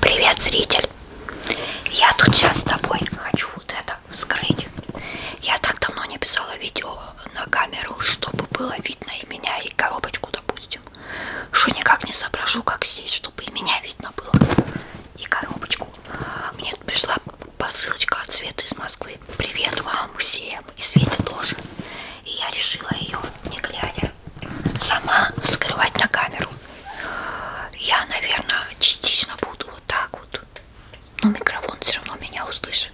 Привет, зритель! Я тут сейчас с тобой хочу вот это вскрыть. Я так давно не писала видео на камеру, чтобы было видно и меня, и коробочку, допустим. Что никак не соображу, как здесь, чтобы и меня видно было, и коробочку. Мне тут пришла посылочка от Светы из Москвы. Привет вам всем! И Свете тоже. И я решила ее, не глядя, сама скрывать на камеру. Я, наверное, частично буду вот так вот. Но микрофон все равно меня услышит.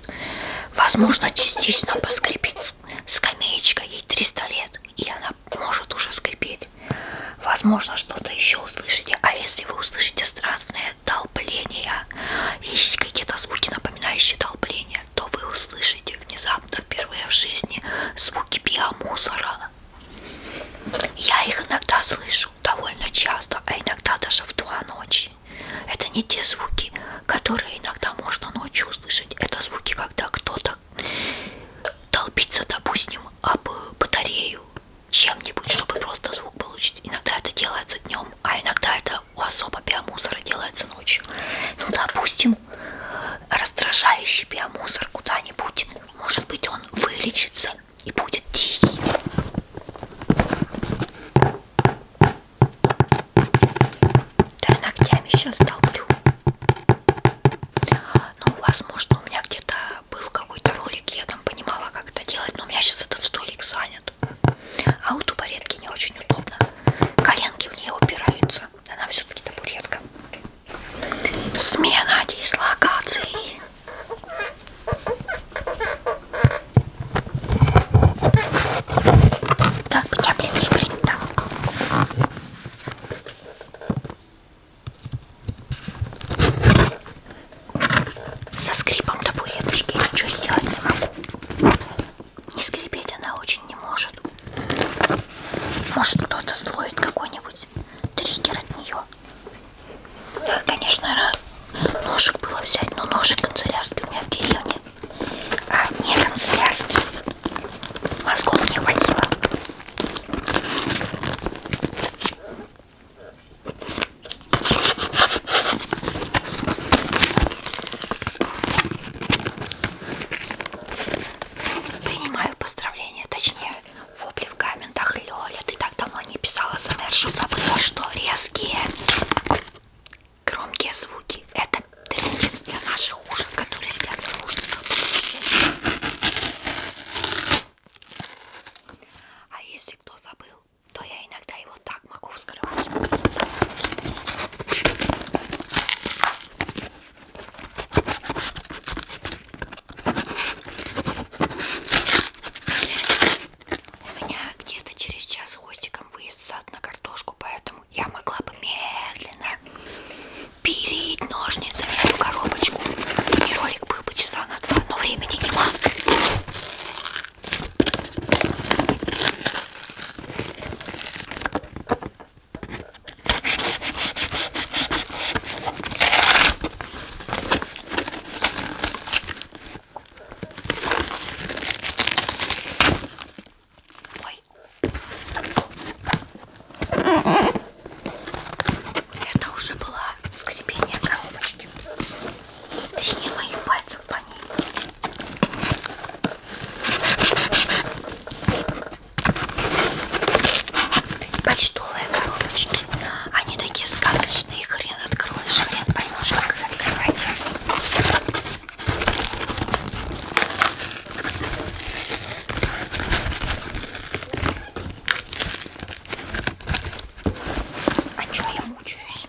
Возможно, частично поскрипит скамеечка, ей 300 лет, и она может уже скрипеть. Возможно, что-то еще услышите. А если вы услышите страстное долбление и какие-то звуки, напоминающие долбление, то вы услышите внезапно впервые в жизни звуки биомусора. Я их иногда слышу довольно часто, а иногда даже в два ночи. Это не те звуки, которые иногда можно ночью услышать. Это звуки, когда кто-то толпится, допустим, об батарею чем-нибудь, чтобы просто звук получить. Иногда это делается днем, а иногда это особо биомусора делается ночью. Ну, допустим, раздражающий биомусор куда-нибудь, может быть, он вылечится и будет тихий. Да, ногтями сейчас долблю. Ну, возможно, у меня где-то был какой-то ролик, я там понимала, как это делать, но у меня сейчас этот столик занят. А у табуретки не очень удобно. Коленки в нее упираются. Она все-таки табуретка. Смена дислокации. Так, меня, блин, скрыть-то. Со скрипом табуреточки ничего сделать не могу. И скрипеть она очень не может. Может кто-то слоит какой-нибудь триггер от нее. Да, конечно, ножик было взять, но ножик канцелярский у меня в деревне. А не канцелярский. Мозгов не хватило. Принимаю поздравления, точнее, вопли в комментах. Лёля, ты так давно не писала СМР, что забыла, что резкие громкие звуки. Это тренинг для наших ушек, которые сидят в ушках. А если кто забыл, то я иногда его так могу вскрывать. У меня где-то через час хвостиком выезд в сад на картошку, поэтому я могла бы медленно пилить ножницами эту коробочку. И ролик был бы часа на два, но времени нема. Ой. Это уже было скрипение коробочки. Точнее моих пальцев пальцев по ней. Почтовые коробочки. Они такие сказочные, хрен откроешь, хрен поймешь, как их открывать. А что я мучаюсь?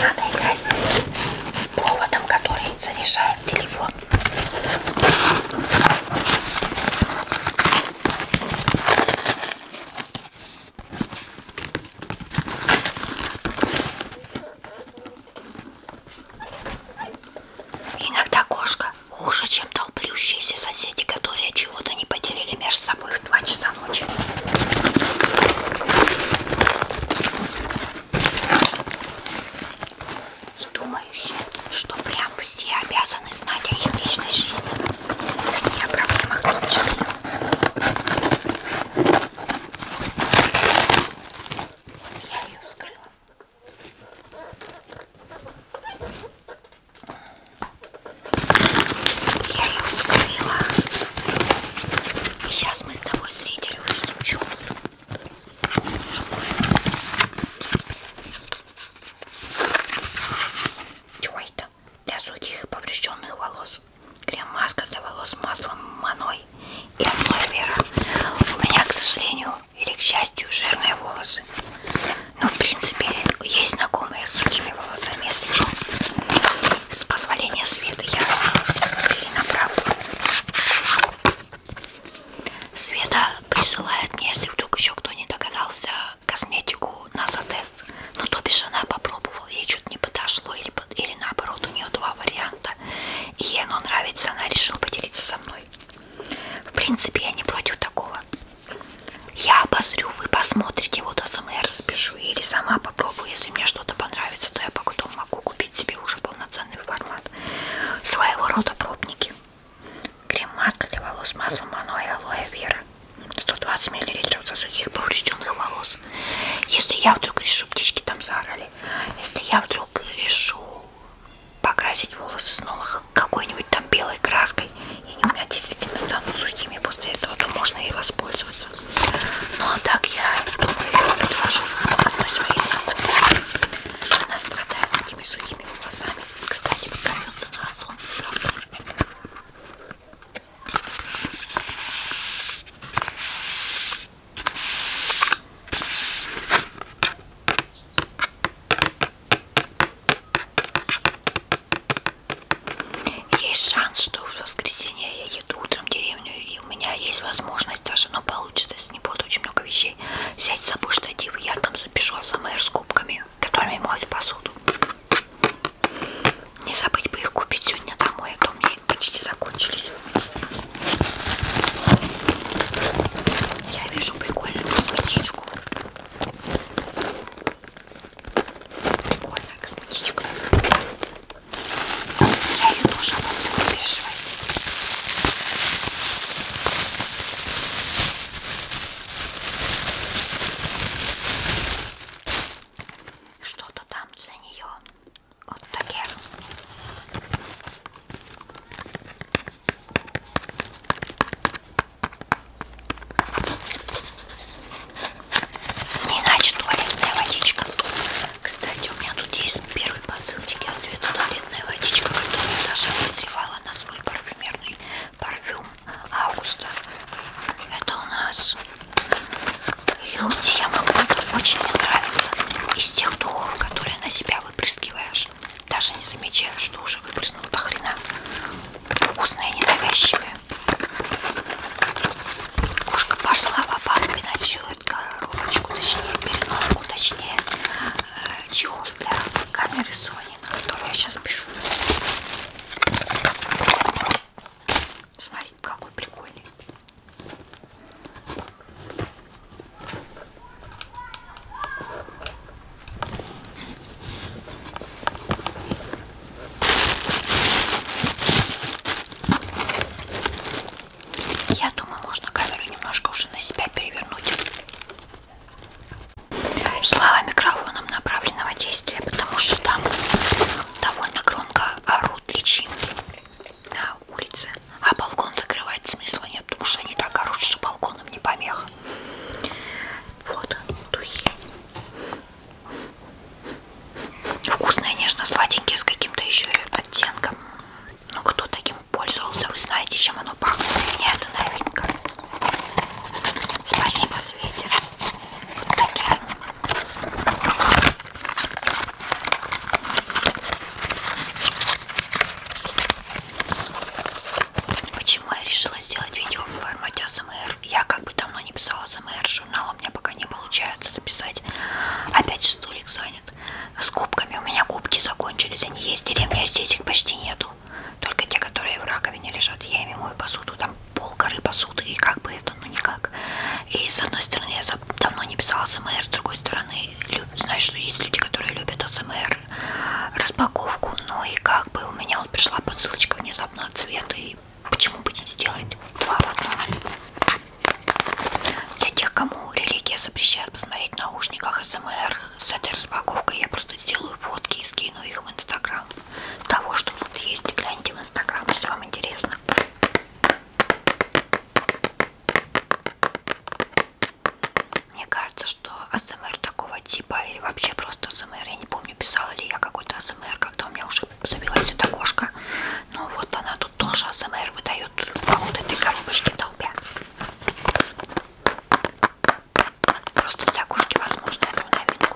Надо играть с проводом, который заряжает телефон. Иногда кошка хуже, чем толплющиеся соседи, которые чего-то не поделили между собой в 2 часа ночи думающие, что прям все обязаны знать о их личной жизни и о проблемах в том числе. Я ее вскрыла. Я ее вскрыла. И сейчас мы с тобой, зритель, увидим черную. Чего это? Для сухих и поврежденных волос. Крем-маска для волос с маслом маной и вера. У меня, к сожалению, или к счастью, жирные волосы. Но, ну, в принципе, есть знакомые с сухими волосами, если что. С позволения света я перенаправлю. Света присылает мне, если вдруг еще кто не догадался, косметику НАСА-тест. Ну, то бишь, она попробовала, ей что-то не подошло, или, или наоборот, у нее два варианта. И ей оно нравится, она решила поделиться со мной. В принципе, я не против такого. Я обозрю, вы посмотрите, вот АСМР запишу или сама попробую. Если мне что-то понравится, то я потом могу купить себе уже полноценный формат. Своего рода пробники. Крем-маска для волос маслом маной алоэ вера. 120 мл за сухих поврежденных волос. Если я вдруг решу, птички там заорали. Если я вдруг решу покрасить волосы снова какой-нибудь там белой краской, и у меня действительно станут сухими после этого, то можно и воспользоваться. Ну а так я думаю, предложу одной своей знакомой. Она страдает этими сухими волосами. Кстати, покорется на сон завтра. Есть шанс, что в воскресенье я еду утром в деревню, и у меня есть возможность даже, но получится, если не будет очень много вещей, взять с собой штатив, я там запишу АСМР с кубками, которыми моют посуду. Не забыть бы их купить сегодня домой, а то мне почти закончились. Я вижу прикольную косметичку. Прикольная косметичка. Я ее тоже обосну бежевой. Что-то там для нее. Вот такие. Не иначе туалетная водичка. Кстати, у меня тут есть первый посылочки от цвета туалетная водичка, которую Даша подливала на свой парфюмерный парфюм августа. Это у нас Хилти Ямамото. Очень мне нравится. Из тех духов, которые на себя выпрыскиваешь. Даже не замечаешь, что уже выпрыснул до хрена. Вкусное, ненавязчивое такое. Кошка пошла в обратку и носит коробочку, точнее, переноску, точнее, э, чехол для камеры Sony, на которую я сейчас пишу. Смотрите, какой прикольный. Я думаю, можно камеру немножко уже на себя перевернуть. Слава микрофоном направленного действия, потому что там довольно громко орут личинки на улице. А балкон закрывать смысла нет, потому что они так орут, что балконом не помеха. Вот, духи. Вкусные, нежно-сладенькие, с каким-то еще оттенком. Ну, кто таким пользовался, вы знаете, чем оно пахнет. Для меня это новинка. Спасибо, Свете. Вот такие. Почему я решила сделать видео в формате АСМР? Я как бы давно не писала СМР, журнал у меня пока не получается записать. Опять же столик занят. С кубками у меня кубки закончились, они есть в деревне, а здесь их почти нету. Только те, которые в раковине лежат, я ими мою посуду, там пол горы посуды, и как бы это, ну никак. И с одной стороны, я давно не писала СМР, с другой стороны, знаю, что есть люди, которые любят СМР, распаковку, ну и как бы у меня вот пришла подсылочка внезапно от цвета, и Почему бы не сделать два в одном? Для тех, кому религия запрещает посмотреть в наушниках СМР с этой распаковкой, я просто сделаю фотки и скину их в Инстаграм. Того, что тут есть, гляньте в Инстаграм, если вам интересно. Мне кажется, что АСМР такого типа, или вообще просто АСМР, я не помню, писала ли я какой-то АСМР, когда у меня уже забилась эта кошка. Но вот она тут тоже АСМР выдает по вот этой коробочке долбя. Просто для кошки, возможно, это в новинку.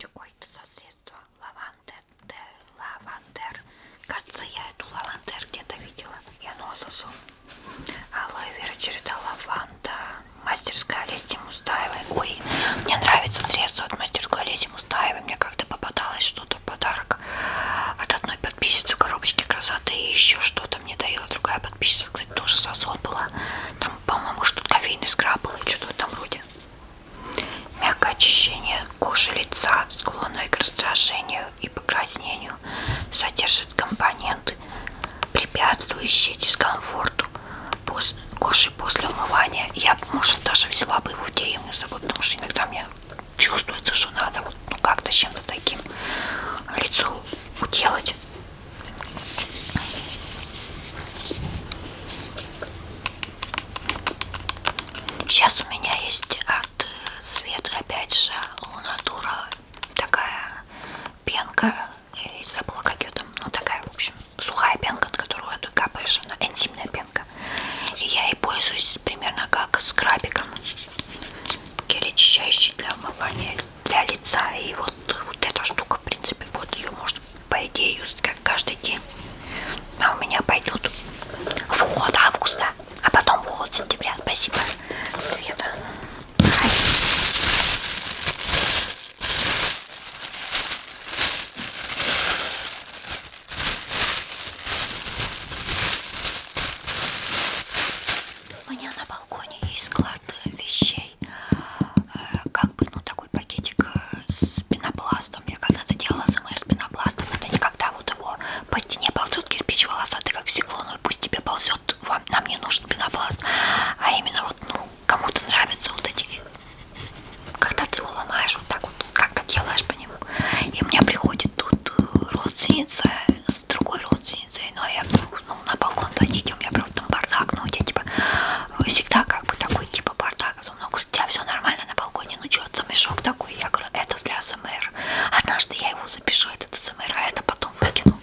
Какое-то со средства лавандер, лавандер. Кажется, я эту лавандер где-то видела. Я нососу. Алоэ вера, череда лаванда. Мастерская листья Мустаевой. Ой, мне нравится средство от мастерской листья Мустаевой. Мне как-то попадалось что-то в подарок от одной подписчицы коробочки красоты. И еще что-то мне дарила другая подписчица. Кстати, тоже сазон была. Там, по-моему, что-то кофейный скраб был. Что-то в этом роде. Мягкое очищение кожи лица, склонной к раздражению и покраснению содержит компоненты, препятствующие дискомфорту кожи после умывания. Я, может, даже взяла бы его в деревню с собой, потому что иногда мне чувствуется, что надо вот, ну, как-то чем-то таким лицо уделать. Сейчас у меня есть от э, Светы опять же Лунатура такая пенка, я забыла как ее там, ну такая, в общем, сухая пенка, от которую ты капаешь, она энзимная пенка. И я ей пользуюсь примерно как скрабиком, гель очищающий для умывания для лица. И вот, вот эта штука, в принципе, вот ее можно, по идее, юзать как каждый день. Она у меня пойдет в уход августа, а потом в уход сентября. Спасибо, Света. У меня на балконе есть склад вещей, э, как бы, ну, такой пакетик э, с пенопластом. Я когда-то делала СМР с пенопластом, это никогда вот его по стене ползет кирпич волосатый, как стекло, ну и пусть тебе ползет вот вам, нам не нужен пенопласт, а именно вот, ну, кому-то нравятся вот эти, когда ты его ломаешь вот так вот, как ты делаешь по нему. И у меня приходит тут э, родственница с другой родственницей, но я ну, на балкон зайдите, у меня просто там бардак, ну, у тебя типа э, всегда как бы такой типа бардак, ну, у тебя все нормально на балконе, ну, что, это мешок такой, я говорю, это для СМР. Однажды я его запишу, этот СМР, а это потом потом выкину.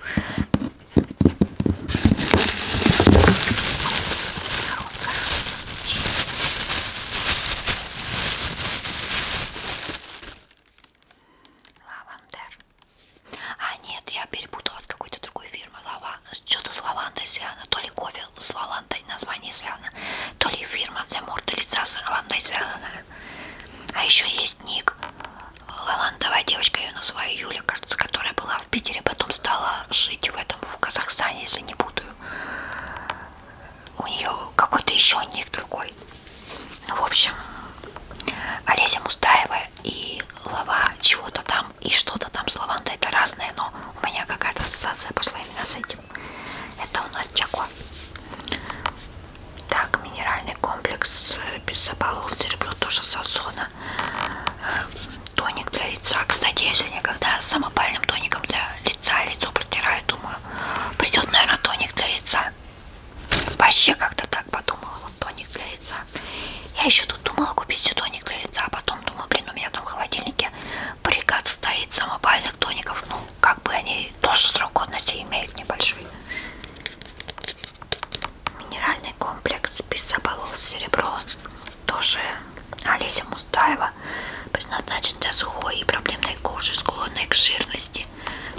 Лавандер. А нет, я перепутала с какой-то другой фирмы. Лава... Что-то с лавандой связано. То ли кофе с лавандой название связано, то ли фирма для морда лица с лавандой связана. А еще есть ник Лавантовая девочка, я ее называю Юля, кажется, которая была в Питере, потом стала жить в этом, в Казахстане, если не буду. У нее какой-то еще ник другой. Ну, в общем, Олеся Мустаева и Лава чего-то там, и что-то там с Лавантой, это разное, но у меня какая-то ассоциация пошла именно с этим. Это у нас Чако. Так, минеральный комплекс э, без забавал серебро тоже Сасона. Э, тоник для лица. Кстати, если никогда самопальным тоником для лица лицо протираю, думаю, придет, наверное, тоник для лица. Вообще как-то так подумала, вот тоник для лица. Я еще тут думала купить тоник для лица, а потом думаю, блин, у меня там в холодильнике бригад стоит самопальных тоников. Ну, как бы они тоже срок годности имеют небольшой. Минеральный комплекс Писоболос серебро тоже Олеся Мустаева предназначен для сухой и проблемной кожи, склонной к жирности,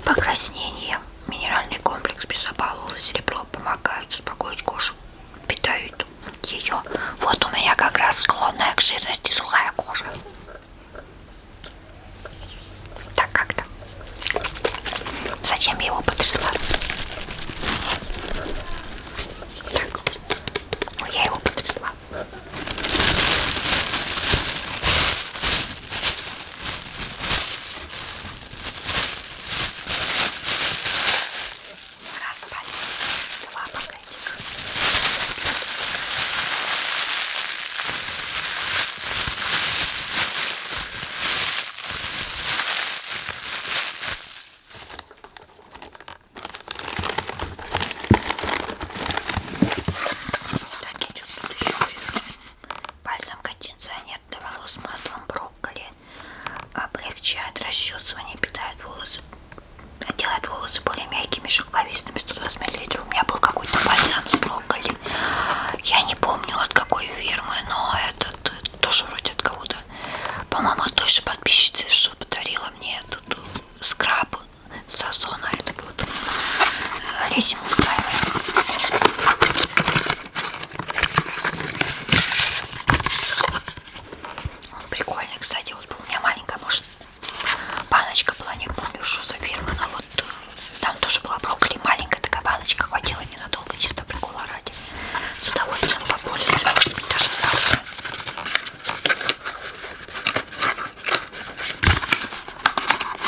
покраснениям. Минеральный комплекс Писоболос серебро помогают успокоить кожу, питают ее. Вот у меня как раз склонная к жирности сухая кожа. Так как там? Зачем я его потрясла? Так. Ну я его потрясла. Распали. Два пакетика. Так, я чувствую, тут еще вижу. Бальзам кондиционер для волос с маслом брокколи. Облегчает расчесывание, питает волосы, делает волосы более мягкими, шелковистыми 120 мл. У меня был какой-то бальзам с брокколи. Я не помню от какой фирмы, но этот тоже вроде от кого-то. По-моему, от той же подписчицы, что подарила мне этот э, скраб сазона этот вот. Лезем э, устраиваем. Он прикольный, кстати, вот у меня маленькая, может Баночка была, не помню, что за фирма, но вот э, там тоже была брокколи, маленькая такая баночка, хватило ненадолго, чисто прикола ради. С удовольствием попользуюсь, может быть, даже завтра.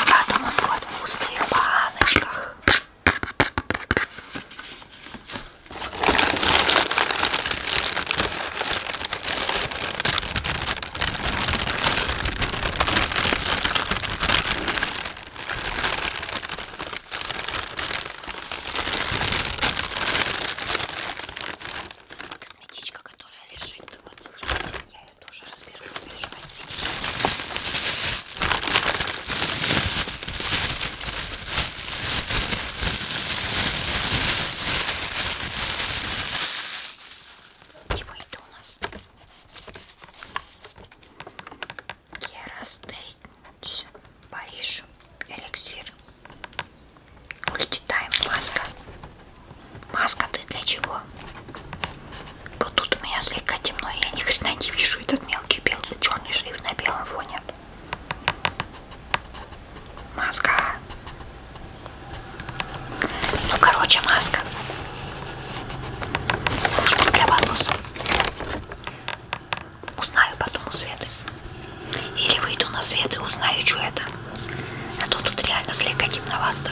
Я думаю, вот в пустых баночках. Косметичка, которая лежит вот здесь, я ее тоже разберу, не переживайте. Чего это у нас? Керастейдж, Париж, эликсир. Ультитайм, маска. Маска ты для чего? Вот тут у меня слегка темно, я ни хрена не вижу этот мелкий белый, черный шрифт на белом фоне. Маска. Ну, короче, маска. Что для волос. Узнаю потом у Светы. Или выйду на свет и узнаю, что это. А то тут реально слегка темновато.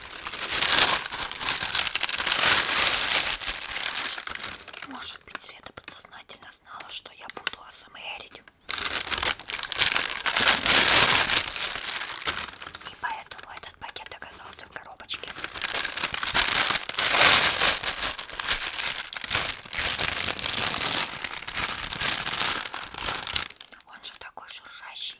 Может, может быть, Света подсознательно знала, что я буду асмерить. И поэтому этот пакет оказался в коробочке. Он же такой шуршащий.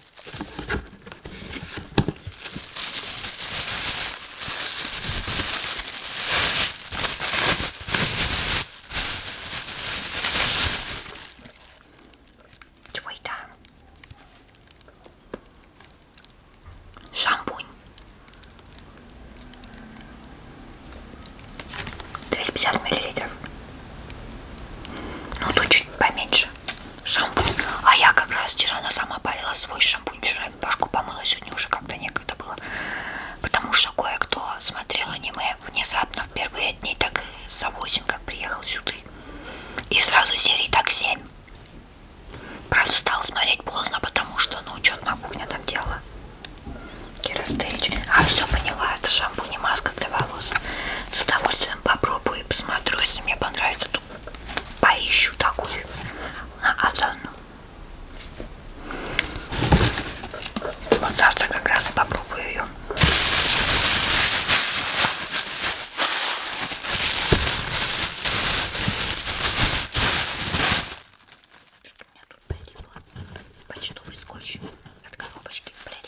Твой там шампунь. 250 миллилитров. Ну, тут чуть поменьше шампунь. А я как раз вчера она сама парила свой шампунь. Вчера башку помыла, сегодня уже как-то некогда было. Потому что кое-кто смотрел аниме внезапно в первые дни, так за 8, как приехал сюда. И сразу серии так 7. Правда, стал смотреть поздно, потому что, ну, что-то на кухне там делала. Кирастырич. А, все поняла, это шампунь и маска для волос. С удовольствием попробую и посмотрю, если мне понравится, вот поищу такую на озону. Вот завтра как раз и попробую ее. Что у меня тут почтовый скотч от коробочки, блин.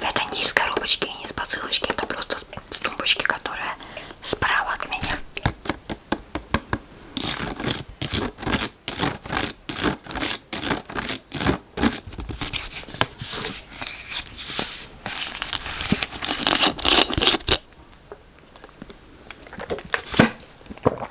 Это не из коробочки, не из посылочки, это просто с тумбочки, которая справа от меня.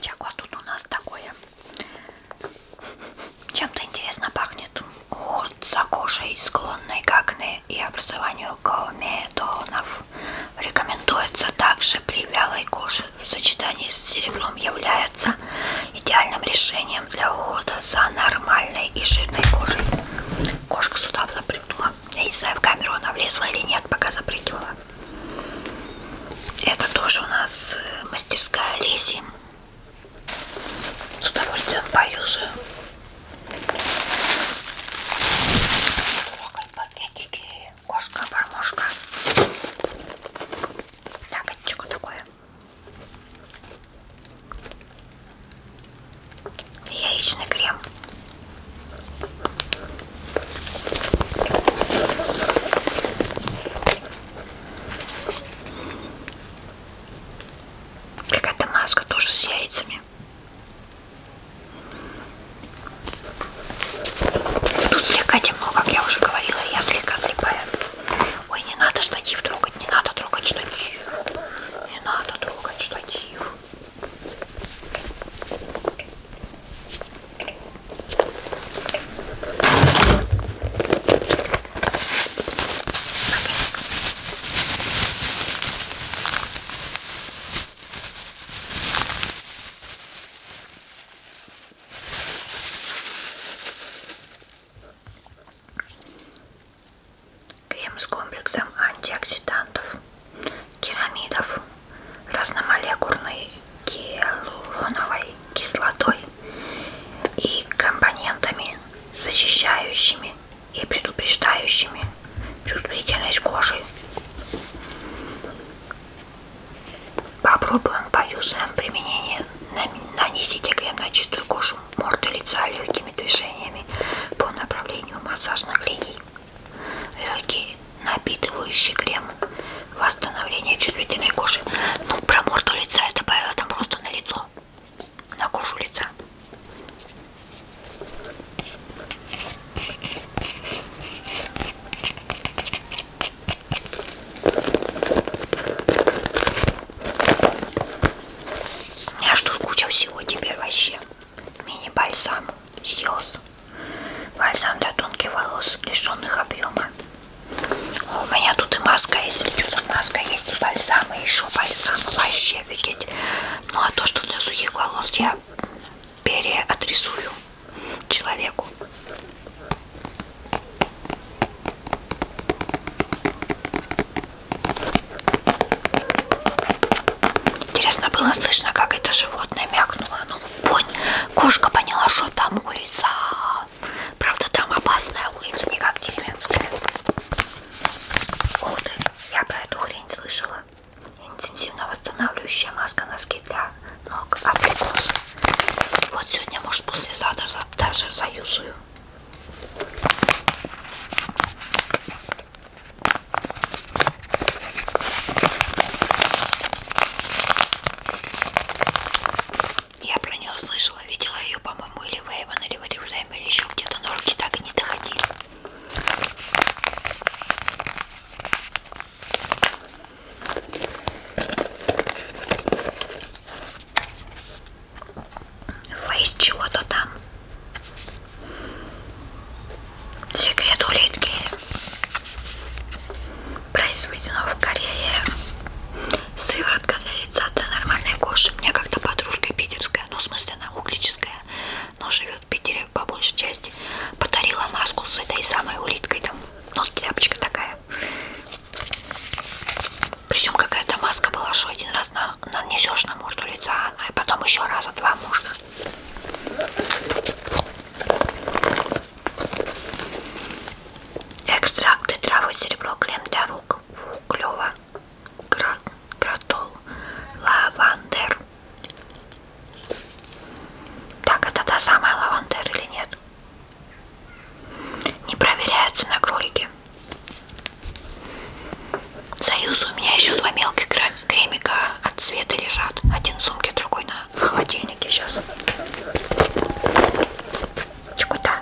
Так, а тут у нас такое. Чем-то интересно пахнет. Уход за кожей, склонной к акне и образованию комедонов. Рекомендуется также при вялой коже в сочетании с серебром является идеальным решением для ухода за нормальной и жирной кожей. Кошка сюда запрыгнула. Я не знаю, в камеру она влезла или нет, пока запрыгивала. Это тоже у нас э, мастерская Леси. С удовольствием поюзаю. Пакетики, кошка, бормошка. Так, это что такое? яичный крем. Какая-то маска тоже с яйцами. Тут слегка темно, как я уже говорила, я слегка слепая. Ой, не надо штатив трогать, не надо трогать штатив. Не надо трогать штатив. Крем с комплексом антиоксидантов керамидов разномолекульной гиалуроновой кислотой и компонентами, защищающими и предупреждающими чувствительность кожи. Попробуем, поюзаем применение. Нанесите крем на чистую кожу, морды, лица легкими движениями по направлению массажных линий легкий напитывающий крем восстановление чувствительной кожи ну про морду лица я добавила там просто на лицо на кожу лица я что скучал всего теперь вообще мини бальсам Сиос. Бальзам для тонких волос, лишенных объема. О, у меня тут и маска есть, или что там маска есть, и бальзам, и еще бальзам, вообще офигеть. Ну а то, что для сухих волос, я переотрисую человеку. Интересно было слышно, как это животное мякнуло. Ну, понь, кошка поняла, что там улица. Правда, там опасная улица, не как деревенская. Вот, я про эту хрень слышала. Интенсивно восстанавливающая маска, носки для ног, абрикос. Вот сегодня, может, после сада даже заюзую. Я про нее слышала, видела ее, по-моему, или в Эйвен, или в Эйвен, или еще где-то, но руки так и не доходили. Фейс чего-то там. Секрет улитки произведено в Корее. Сыворотка для яйца для нормальной кожи. У меня как-то подружка питерская, ну в смысле она углическая, но живет в Питере по большей части. Подарила маску с этой самой улиткой там, ну тряпочка такая. Причем какая-то маска была, что один раз на нанесешь на морду лица, а потом еще раза два можно. Экстракты травы серебро, клем для рук, клево, Гра... гратол, лавандер. Так, это та самая лавандер или нет? Не проверяется на кролике. Союз у меня еще два мелких кремика от цвета лежат. Один в сумке, другой на холодильнике сейчас. Ты куда?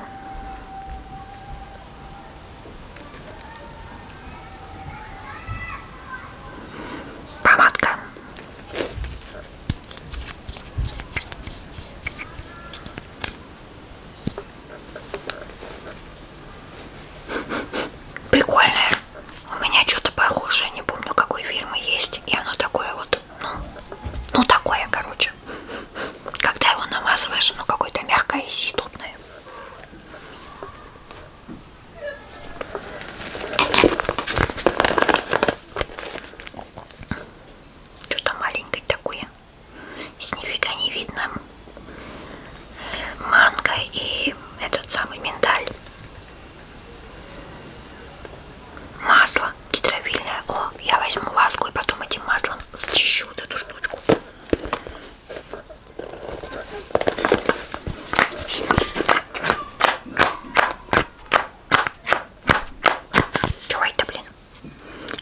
Помадка. Прикольное. У меня что-то похожее, не помню какой фирмы есть. И оно такое вот, ну, ну такое, короче. Когда его намазываешь, оно какое-то мягкое и съедобное. Что-то маленькое такое. С нифига не видно манго и этот самый миндаль. Масло гидровильное. О, я возьму ватку и потом этим маслом зачищу вот эту штучку. Чего это, блин?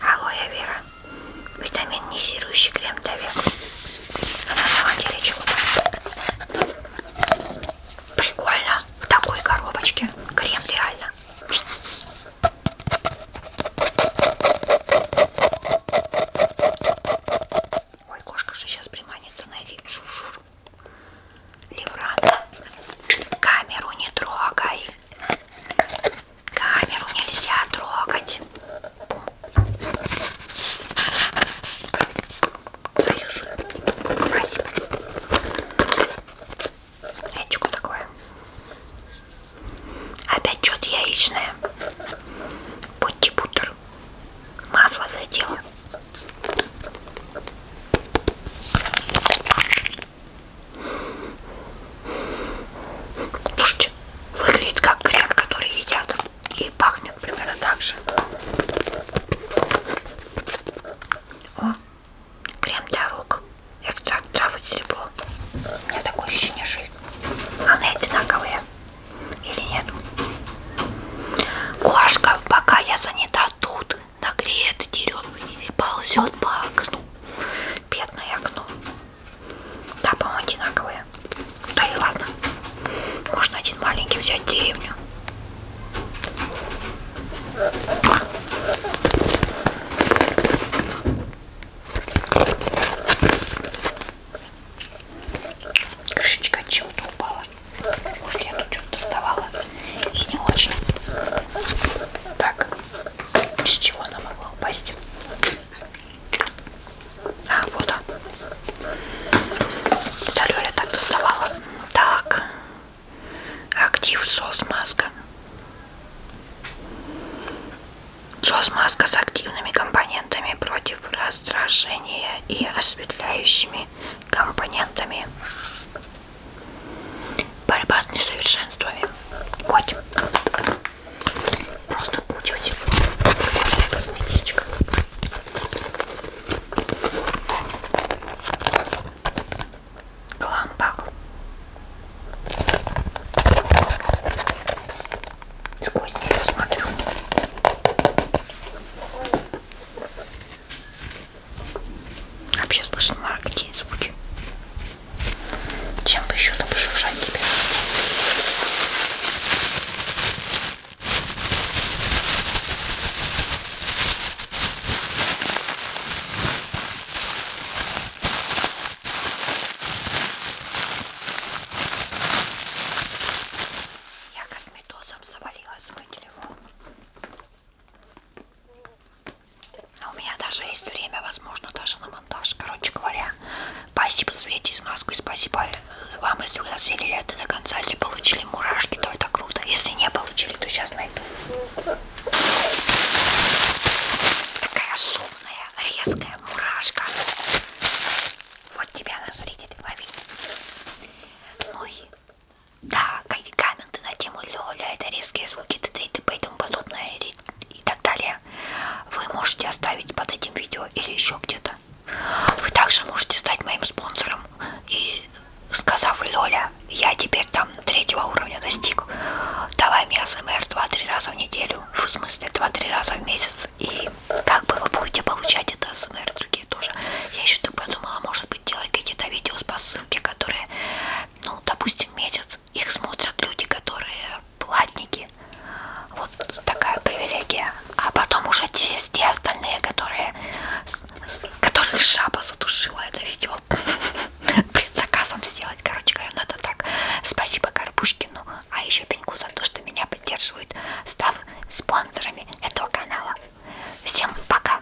Алоэ вера витаминизирующий крем для века. А на самом деле чего-то. Прикольно. В такой коробочке. Крем реально. Ой, кошка же сейчас приманится. Найди шушур. Левран. Камеру не трогай. Камеру нельзя трогать. Союзу. Спасибо. Это что такое? Опять что-то яичное. Будьте бутер. Масло задело. Слушайте, здесь выглядит как крем, который едят. И пахнет примерно так же. О, крем для рук. Экстракт травы серебро. У меня такое ощущение, что они одинаковые. Или нет? Кошка, пока я занята тут, нагреет дерево и ползет по окну. Бедное окно. Да, по-моему, одинаковые. Да и ладно. Можно один маленький взять деревню. Крышечка от чего-то упала. Может, я тут что-то доставала. И не очень. Так, с чего она могла упасть? А, вот он. Да, Лёля так доставала. Так. Актив соус-маска. Соус-маска с активными компонентами против раздражения и осветляющими компонентами. Борьба с несовершенствами. Котик. Просто кучу типа косметичка. Гламбак. Сквозь нее смотрю. Вообще слышно какие звуки. Чем бы еще там пошуршать тебе? Я косметозом завалила свой телефон. А у меня даже есть время, возможно, даже на монтаж. Короче говоря, Спасибо Свете из Москвы, спасибо вам, если вы осилили это до конца, если получили мурашки, то это круто, если не получили, то сейчас найду. Такая шумная, резкая мурашка. Вот тебя она, зритель, лови. Ну и, да, какие комменты на тему Лёля, это резкие звуки, т.д. и т.п. и тому подобное, и, и так далее далее, вы можете оставить под этим видео или еще где-то. Вы также можете стать моим спонсором и сказав Лёля, я теперь там третьего уровня достиг, давай мне СМР 2-3 раза в неделю, в смысле 2-3 раза в месяц, и как бы вы будете получать это СМР, другие тоже. Я еще так подумала, может быть делать какие-то видео с посылки, которые, ну, допустим, месяц, их смотрят люди, которые платники. Вот такая привилегия. А потом уже есть те остальные, которые, которых жаба задушила это видео. Предзаказом сделать, короче говоря, но ну, это так. Спасибо Карпушкину, а еще Пеньку за то, что меня поддерживают, став спонсорами этого канала. Всем пока!